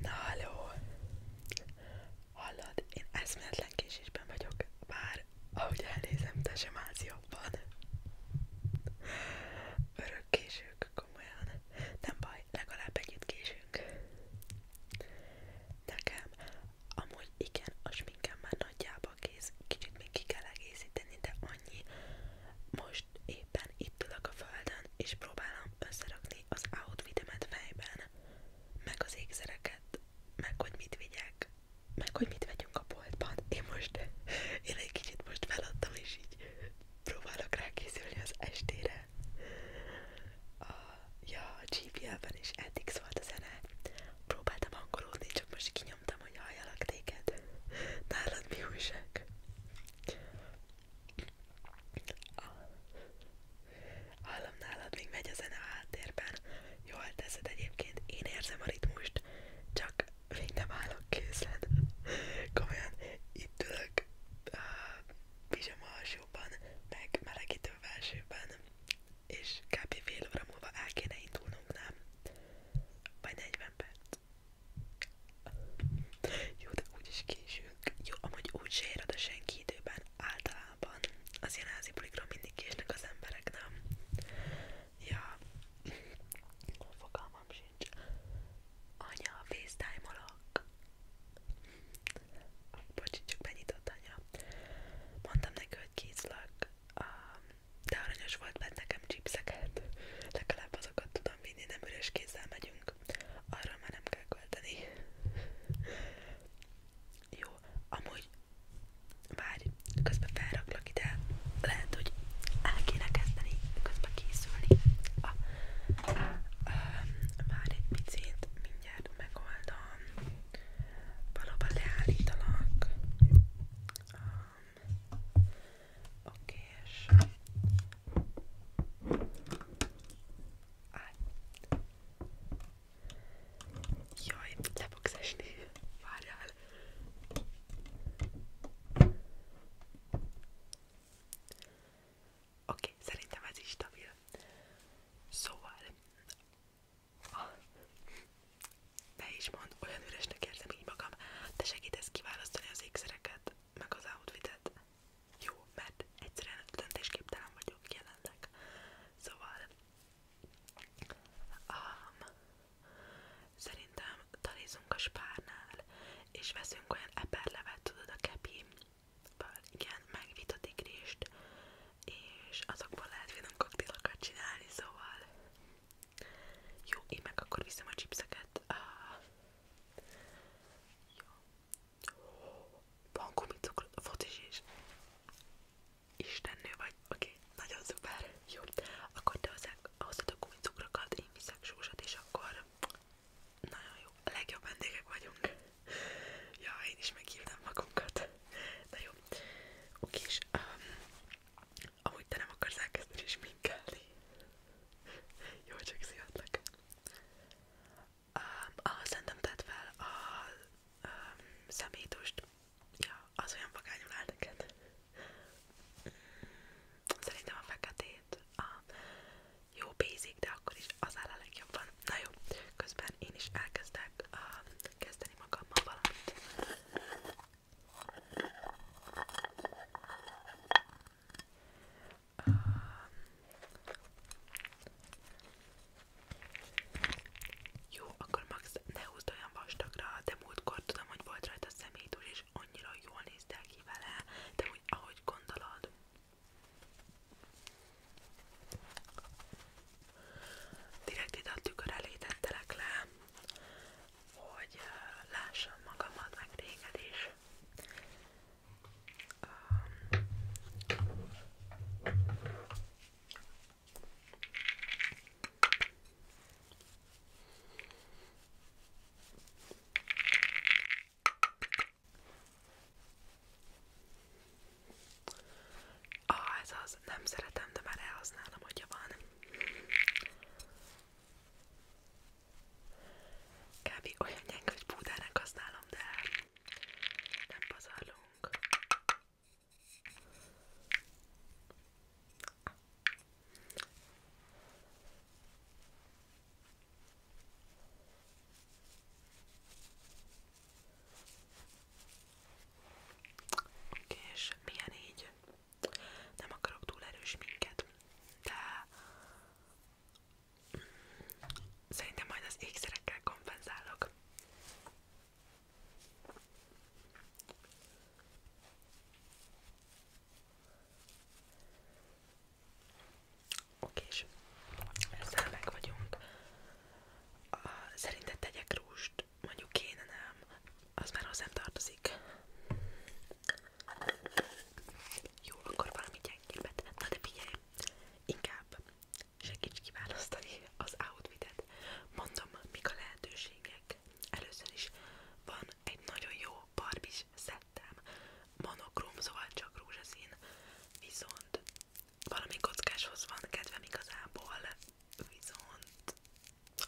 Na halló! Hallod, én eszméletlen késésben vagyok, bár ahogy elnézem, te sem állsz jobban. Örök késők, komolyan. Nem baj, legalább együtt késünk. Nekem amúgy igen, a sminkem már nagyjából kész, kicsit még ki kell egészíteni, de annyi. Most most éppen itt ülök a földön, és próbálom összerakni az outfitemet fejben, meg az ékszereket, meg hogy mit vigyek, meg hogy mit vegyünk a boltban. Én most, én egy kicsit most feladtam, és így próbálok rákészülni az estére. A, ja, a GPL-ben is eddig szólt a zene. Próbáltam angolódni, csak most kinyomtam, hogy halljalak téged. Nálad mi újság? Hallom nálad, még megy a zene a háttérben. Jól teszed egyébként, én érzem a ritmust, csak még nem állok készen. Komolyan, itt ülök pizsama alsóban, meg melegítő felsőben, és kb. fél óra múlva el kéne indulnunk, nem? Vagy 40 perc. Jó, de úgyis késünk. Jó, amúgy úgy se senki időben általában. Az ilyen házi bulikról mindig késnek az emberek, nem? Ja, fogalmam sincs. Anya, facetime-olok. Bocsi, csak benyitott anya. Mondtam neki, hogy készlek, de aranyos volt benne nekem chipseket. Legalább azokat tudom szoktam vinni, nem üres kézzel megyünk. Arra már nem kell költeni. Jó, amúgy várj, közben felraklak ide, lehet, hogy el kéne kezdeni, közben készülni. Ah, várj egy picit, mindjárt megoldom. Valóban leállítalak. Ah, Oké, és Jaj, le fogsz esni. Várjál. Oké, szerintem ez is stabil. Szóval... Ah, ne is mond, olyan üresnek érzem így magam, te segítesz kiválasztani az ékszereket, meg az outfitet. Jó, mert egyszerűen döntésképtelen vagyok jelenleg. Szóval, um, szerintem talizunk a spárnál, és veszünk olyan eperlevet, tudod, a kepi, igen, meg vitatikrést, és azokból lehet finom koktélokat csinálni, szóval jó, én meg akkor viszem a chipseket. Uh, jó. Van gumicukrot, fotis is. Istennő vagy, oké, okay. nagyon szuper. Jó, akkor te hoztad a gumicukrokat, én viszek sósat, és akkor nagyon jó, a legjobb vendégek vagyunk. ja, én is meghívnám magunkat. Na jó, oké, és um, Amúgy te nem akarsz elkezdeni sminkelni. Jó, csak szivatlak. Um, ah, szerintem tedd fel a um, szemétust. Ja, az olyan vagányul áll neked. Mm, szerintem a feketét a jó basic, de akkor is az áll a legjobban. Na jó, közben én is elkezdek uh, kezdeni magammal valamit. Um, jó, akkor max ne húzd olyan vastagra, de múltkor tudom, hogy volt rajta szemét, úgyis annyira jól néztek ki vele, de úgy, ahogy gondolod. Direkt ide a tükör elé tettelek le, hogy lássam magamat, meg téged is. Um, Ah, ez az, nem szeretem, de már elhasználom, hogyha van. Kb. olyan gyenge, hogy púdának használom, de nem pazarlunk. Oké, és milyen így? nem akarok túl erős minket, de szerintem majd az ékszerekkel kompenzálok. Oké, és ezzel meg vagyunk. Szerinted tegyek rúst? Mondjuk kéne, nem? Az már hozzám tartozik. Jó, akkor valami gyengébbet. Na de figyelj, inkább segíts kiválasztani az outfitet. Mondom, mik a lehetőségek. Először is van egy nagyon jó barbis szettem. Monokróm, szóval csak rózsaszín. Viszont valami kockáshoz van kedvem igazából. Viszont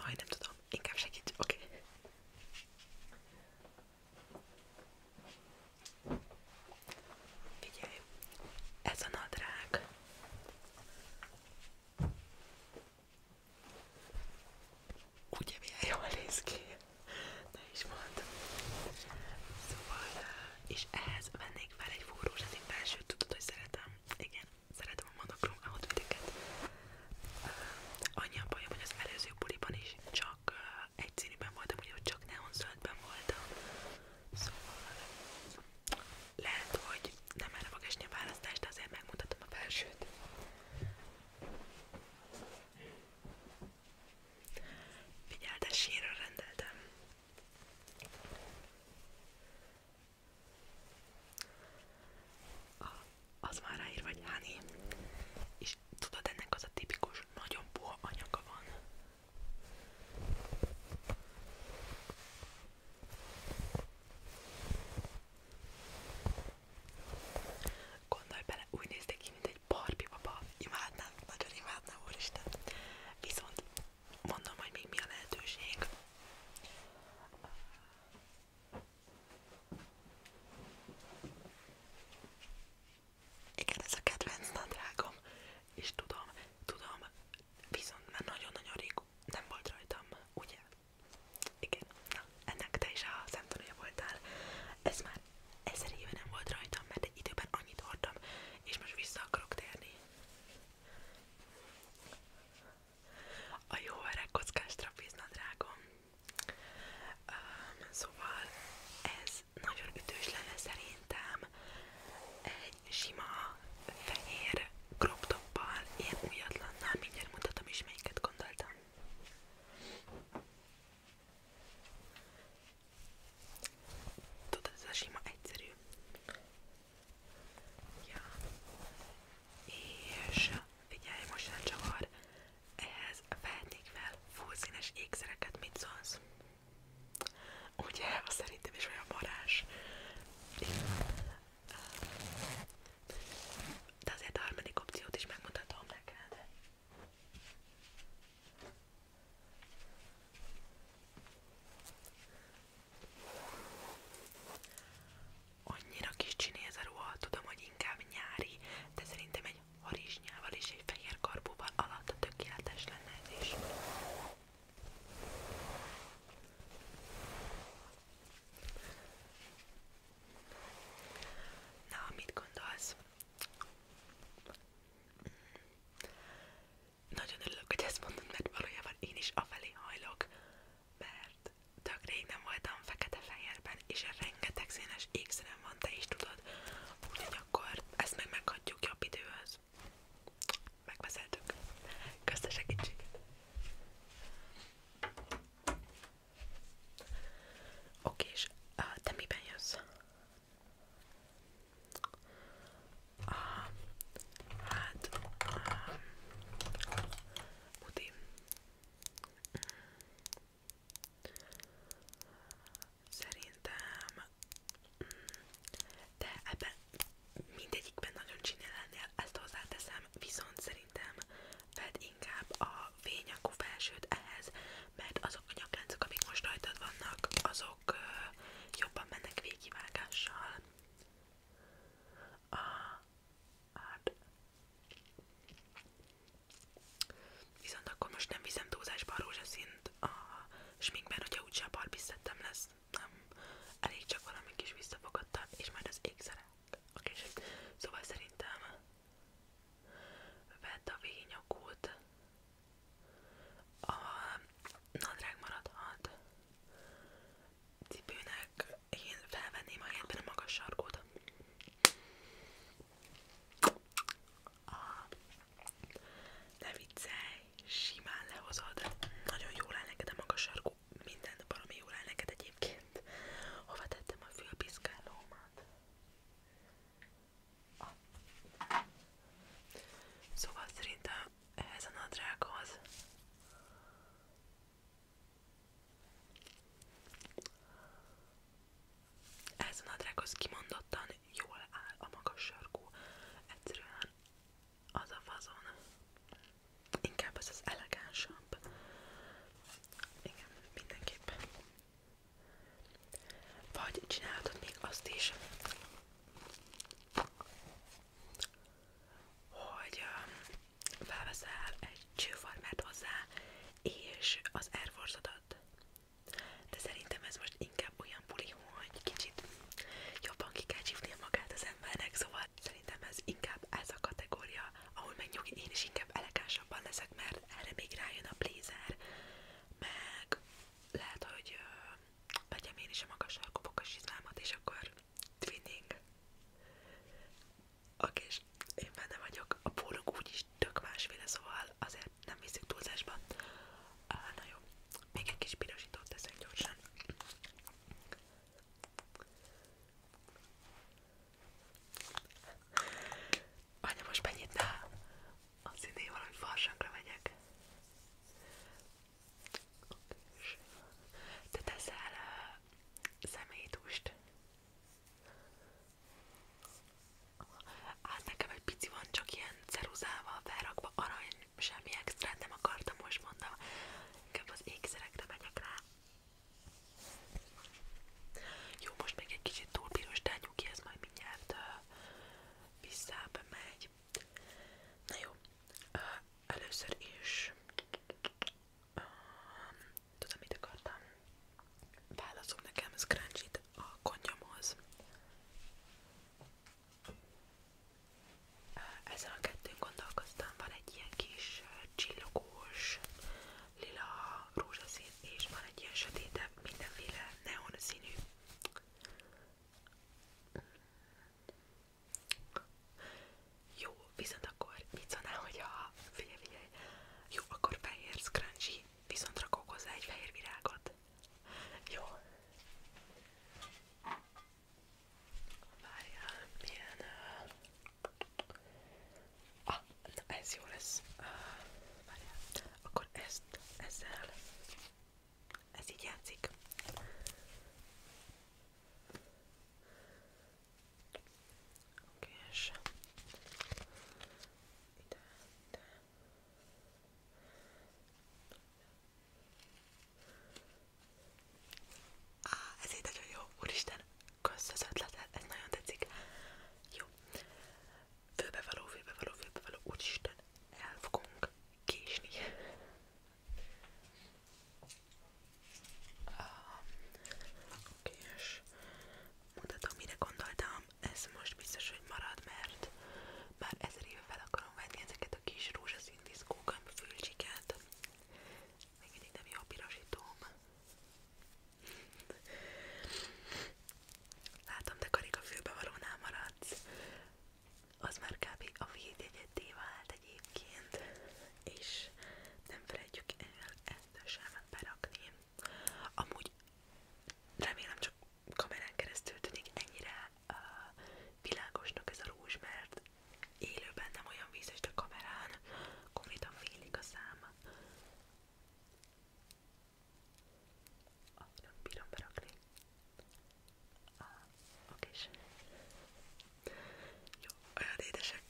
Aj, nem tudom, inkább segíts, oké. Okay. Figyelj, ez a nadrág. Ugye milyen jól néz ki? Ne is mondd. Szóval, és ehhez vennék fel egy fúrózsát, én belsőt tudod, hogy szeretem. Igen, szeretem imádom a monokrom outfiteket. Annyi a bajom, hogy az előző buliban is csak egy színűben voltam, úgyhogy csak neonzöldben voltam. Szóval lehet, hogy nem erre fog esni a választás, de azért megmutatom a felsőt. Figyelj, de sírra rendeltem. A az már ráír, vagy Hani, és tudod, ennek az a tipikus, nagyon puha anyaga van. Gondolj bele, úgy néztek ki, mint egy barbi baba. Imádnám, nagyon imádnám, úristen. Viszont mondom, hogy még mi a lehetőség. Igen, ez a kedvenc nadrágom, és tudom, tudom, viszont már nagyon-nagyon rég nem volt rajtam, ugye? Igen, na, ennek te is a szemtanúja voltál. Ez már ezer éve nem volt rajtam, mert egy időben annyit hordtam, és most vissza akarok térni a jó öreg kockás trapéznadrágom. Um, szóval ez nagyon ütős lenne szerintem sima fehér crop toppal, ilyen újatlannal, mindjárt mutatom is melyiket gondoltam. Tudod, a sima egyszerű. Ja. És Figyelj, most nem csavar. Ehhez vehetnék fel fullszínes ékszereket, mit szólsz? Ugye, az szerintem is olyan varázs. De azért a harmadik opciót is megmutatom neked annyira kicsi néz a ruha, tudom, hogy inkább nyári, de szerintem egy harisnyával és egy fehér karbúval alatt tökéletes lenne ez is. Na, mit gondolsz? Nagyon örülök, hogy ezt mondod, mert valójában én is afelé hajlok, mert tök rég nem voltam fekete-fehérben, és rengeteg színes ékszerem van, te is tudod, úgyhogy akkor ezt meg meghatjuk jobb időhöz. Megbeszéltük. Köszönöm segítséget! Oké, és te miben jössz? Ah, hát... Ah, Budim. Szerintem, de ebben mindegyikben nagyon csini lennél, ezt hozzáteszem, viszont szerintem vedd inkább a fényakú felsőt ehhez, mert azok a nyakláncok, amik most rajtad vannak, azok jobban mennek végigvágással. A Hát... Viszont akkor most nem viszem túlzásba a rózsaszint a sminkben, hogyha úgyse a barbiszettem lesz. Nem. Elég csak valami kis visszafogadtam, és majd az ékszerek. Oké, szóval szerintem vedd a vényakút. A nadrág maradhat. Cipőnek én felvenném a helyetben a magas sarkót. Ah, ne viccelj, simán lehozod. Nagyon jól áll neked a magas sarkó. Minden valami jól áll neked egyébként. Hova tettem a fülpiszkálómat? Ah. Szóval szerintem ehhez a nadrághoz ez a nadrághoz kimondottan jól áll a magas sarkú. Egyszerűen az a fazon. Inkább ez az elegánsabb. Igen, mindenképpen. Vagy csinálhatod még azt is, hogy um, felveszel egy csőfarmert hozzá, és az Air force -odat. De szerintem ez most inkább olyan buli, hogy kicsit jobban ki kell csípnia magát az embernek, szóval szerintem ez inkább ez a kategória, ahol meg nyugi, én is inkább elegánsabban leszek, mert erre még rájön a blazer, meg lehet, hogy vegyem én is a magas sarkú és akkor twinning. Oké, és én benne vagyok, a pólók úgyis tök másféle, szóval azért nem viszük túlzásba. Ah, na jó, még egy kis pirosítót teszek gyorsan. Anya, most megnyitnál? Azt idén valami farsangra megyek. Te teszel uh, személytúst? Hát nekem egy pici van, csak ilyen ceruzával felrakva, arany, semmi extrát nem akartam, most mondom, inkább az ékszerekre megyek rá. Jó, most még egy kicsit túl piros, de nyugi, ez majd mindjárt uh, visszább megy. Na jó, uh, először is Um, tudom, mit akartam. Válaszol nekem scrunchit a konyomhoz. Ezen a kettőn gondolkoztam, van egy ilyen kis csillogós, lila, rózsaszín, és van egy ilyen sötétebb, mindenféle neon színű. Jó, viszont akkor mit szólnál, hogyha figyelj, figyelj, jó, akkor fehér scrunchie, viszont rakok hozzá egy fehér virágot. Jó. Várjál, milyen... Uh... Ah, na ez jó lesz. Uh, várjál, akkor ezt, ezzel, ez így játszik. Oké, és ide, ide. Á, ez így nagyon jó, úristen, kösz az ötletet, ez nagyon tetszik. Jó. Főbevaló, főbevaló, főbevaló, úristen, el fogunk késni. Oké, és mutatom, mire gondoltam, ez most biztos, hogy marad, mert már ezer éve fel akarom venni ezeket a kis rózsaszín diszkókat, fülcsiket. Még mindig nem jó a pirosítóm. Látom, te karika fülbevalónál maradsz. Az már kb. a védjegyedé vált egyébként, és nem felejtjük el ezt sem berakni. Amúgy remélem csak kamerán keresztül tűnik ennyire uh, világosnak ez a rúzs, mert élőben nem olyan vízes, de kamerán konkrétan félig a szám. Ah, nem bírom berakni. Ah, oké. Jó, olyan édesek.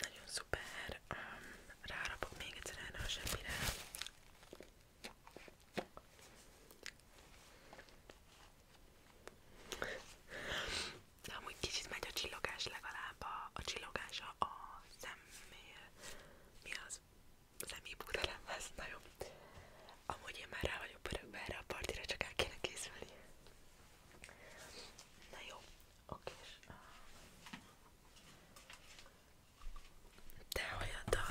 Nagyon szuper, um, rárapok még egyszer erre a semmire. De amúgy kicsit megy a csillogás legalább, a, a csillogása a személ, mi az? Személybudelemhez, na jó. Amúgy én már rá vagyok pörögve erre a partira, csak el kéne készülni. Na jó, oké. De ah. olyan dal.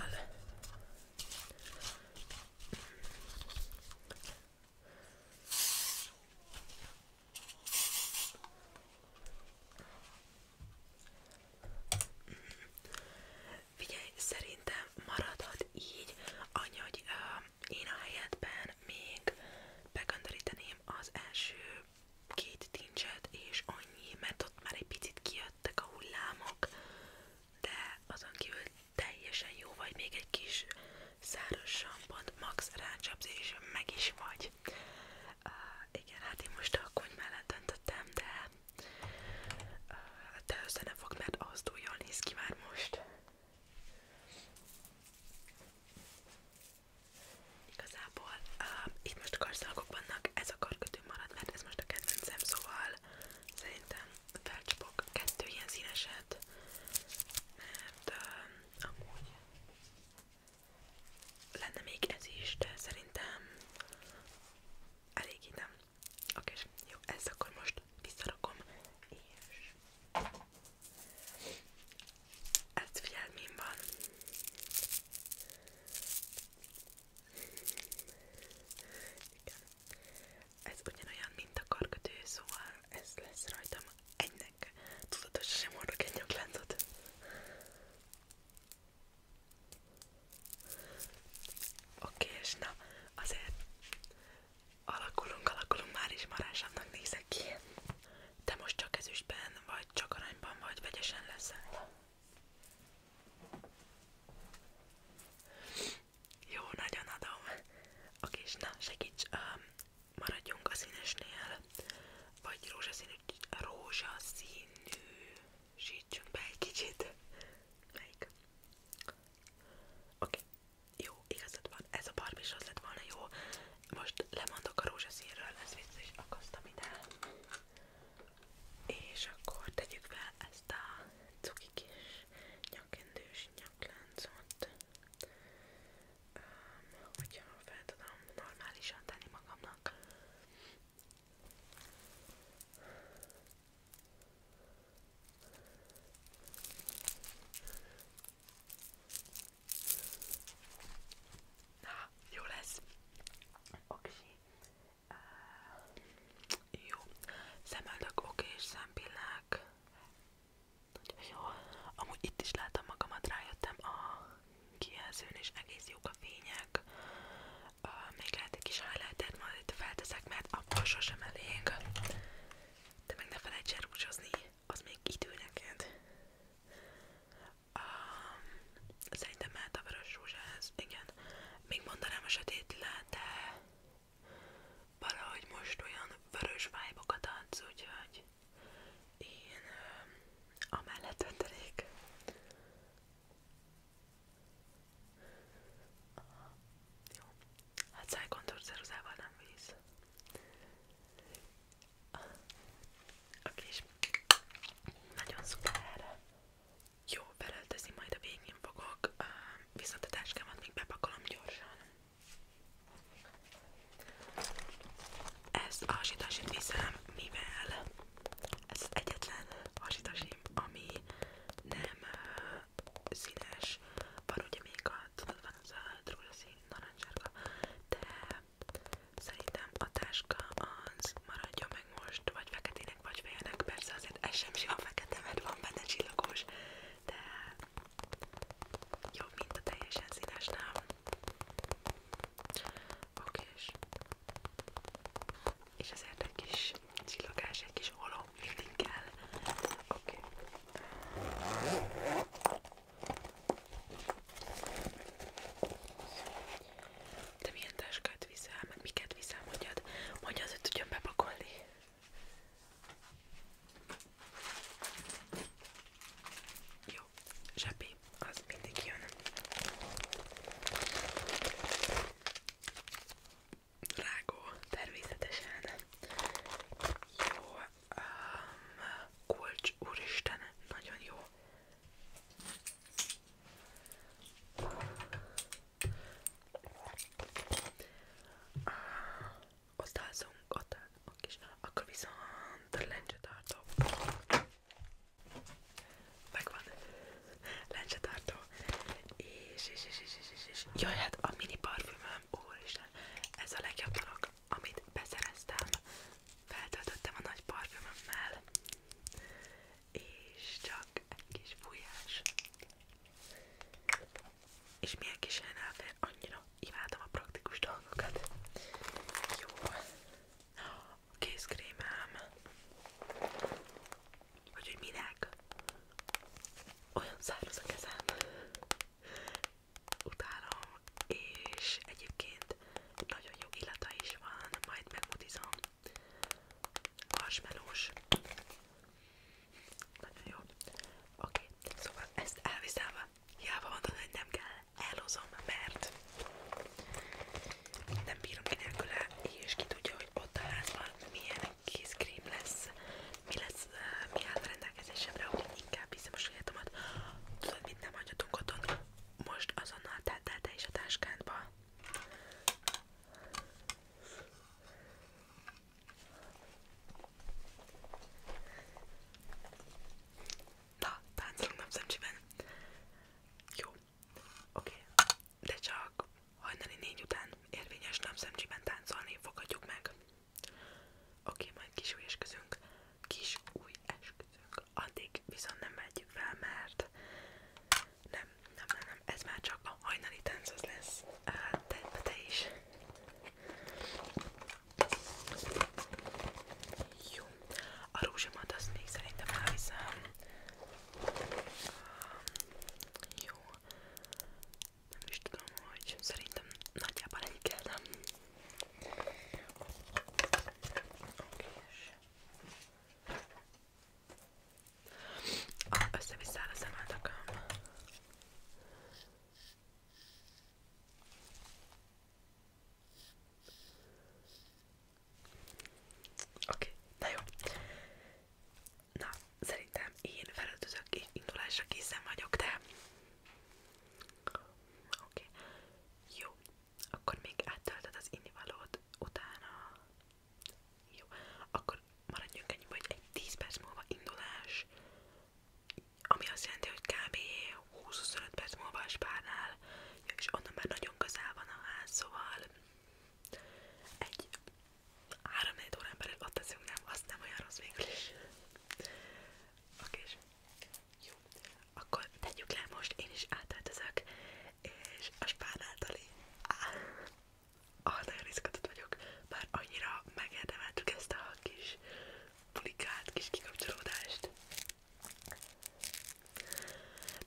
Figyelj, szerintem maradhat így, annyi, hogy uh, én a helyetben még begönderíteném az első két tincset, és annyi, mert ott már egy picit kijöttek a hullámok, de azon kívül teljesen jó vagy, még egy kis száraz sampont, max rácsapsz, és meg is vagy. Uh, igen, hát én most a kony mellett döntöttem, de, uh, de össze nem fog, mert az túl jól néz ki már most. Igazából uh, itt most karszalagok vannak, ez a karkötő marad, mert ez most a kedvencem, szóval szerintem felcsapok kettő ilyen színeset, mert uh, amúgy lenne még ez is, de szerintem elég nem. Oké, jó, ezt akkor most visszarakom, és ez hát figyelmém van. Igen. Ez ugyanolyan, mint a karkötő, szóval ez lesz rajtam egynek. Tudatosan sem hordok egy nyakláncot. Oké, és na, azért Alakulunk, alakulunk, már is marásának nézek ki. Te most csak ezüstben, vagy csak aranyban, vagy vegyesen leszel. Jó, nagyon adom. Oké, és na, segíts, um, maradjunk a színesnél, vagy rózsaszínű, rózsaszínűsítsünk be egy kicsit. Melyik? Oké, jó, igazad van, ez a barb is az lett volna jó. Most lemondok a rózsaszínről, ezt vissza is akasztam ide. És akkor tegyük fel ezt a cuki kis nyakendős nyakláncot. Um, hogyha fel tudom normálisan tenni magamnak. Na, jó lesz. Oksi. Uh, jó. Szemöldök, oké, és szempillák. Nagyon jó. Amúgy itt is látom magamat, rájöttem a kijelzőn, és egész jók a fények. Uh, még lehet egy kis highlightet majd itt felteszek, mert abból sosem elég de meg ne felejts el rúzsozni, az még idő neked. Um, szerintem mehet a vörös rúzsához, igen. Még mondanám a sötét le, de valahogy most olyan vörös vibe adsz, úgyhogy én um, amellett döntenék. Aha, jó. Hát szájkontorszerozával nem víz. Aki is nagyon szuper. Jó, felöltözni majd a végén fogok, viszont a táskámat még bepakolom gyorsan. Ez a hasitasit viszem, mivel ez az egyetlen hasitasim, ami nem színes, van ugye még a, tudod, van az a drózsaszín, narancsárga, de szerintem a táska az maradja meg most, vagy feketének, vagy félnek, persze azért ez sem sima fekete, mert van benne csillagos, de jobb, mint a teljesen színes, nem? Oké, és ezért egy kis csillogás, egy kis holó mindig kell. Oké. Okay. Te milyen táskát viszel, meg miket viszel, mondjad? Mondja az, hogy tudjon bepakolni. Jó, zsepi, az mindig jön rágó, természetesen. Jó, um, úristen, nagyon jó. Uh, ah, ott ott állunk is. Akkor viszont lencsetartó. Megvan. Lencsetartó. És, és, és, és, és, és. Jaj, hát a mini parfüm úristen, ez a legjobb dolog, amit beszereztem, feltöltöttem a nagy parfümömmel, és csak egy kis fújás. És milyen kis helyen fér, annyira imádom a praktikus dolgokat. Jó. A kézkrémám. Vagy hogy minek? Olyan száraz a kezem utálom, és egyébként nagyon jó illata is van, majd megmutizom. Marshmallows. Nagyon jó. Oké, okay. szóval ezt elviszem, hiába mondod, hogy nem kell, elhozom, mert nem bírom ki nélküle, és ki tudja, hogy ott a házban milyen kézkrém lesz, mi lesz, uh, mi áll rendelkezésemre, hogy inkább hiszem a sajátomat. Tudod, mit nem hagyhatunk otthon? Most azonnal tedd el te is a táskádba. Na, táncolunk napszemcsiben. Jó, oké, okay. de csak hajnali négy után érvényes napszemcsiben táncolni fogadjuk meg. Oké, okay, majd kis új esküzünk, kis új esküzünk, addig viszont nem megyünk fel, mert nem, nem, nem, nem, ez már csak a hajnali tánc az lesz, te, te is. Jó, a rózsamat azt még szerintem elviszem. Um, jó, nem is tudom, hogy szerintem nagyjából ennyit kellem. Oké, és... Ah, össze-visszáll a szemáldakám. Hát Oké, okay, na jó. Na, szerintem én felöltözök és indulásra készen vagyok, de... Oké. Okay. Jó. Akkor még áttöltöd az innivalót utána. Jó. Akkor maradjunk ennyiben, hogy egy 10 perc múlva indulás. Ami azt jelenti, hogy kb. 20-25 perc múlva a spárnál. Ja, és onnan már nagyon közel van a ház, szóval egy 3-4 órán belül ott teszünk, nem? Azt nem olyan rossz végül is. Oké, jó. Akkor tegyük le most, én is átöltözök, és a spán általi. Ah, nagyon izgatott vagyok, bár annyira megérdemeltük ezt a kis pulikált, kis kikapcsolódást.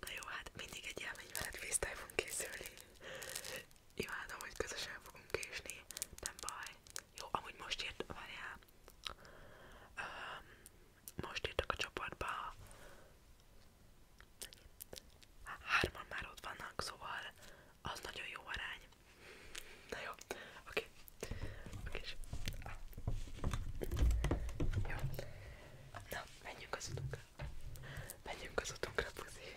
Na jó, hát mindig egy élmény veled facetime készülni. Imádom, hogy közösen fogunk késni, nem baj. Jó, amúgy most írt, várjál, um, most írtak a csoportba, hárman már ott vannak, szóval az nagyon jó arány. Na jó, oké. Okay. Oké, okay, ah. Jó. Na, menjünk az utunkra. Menjünk az utunkra, puzi.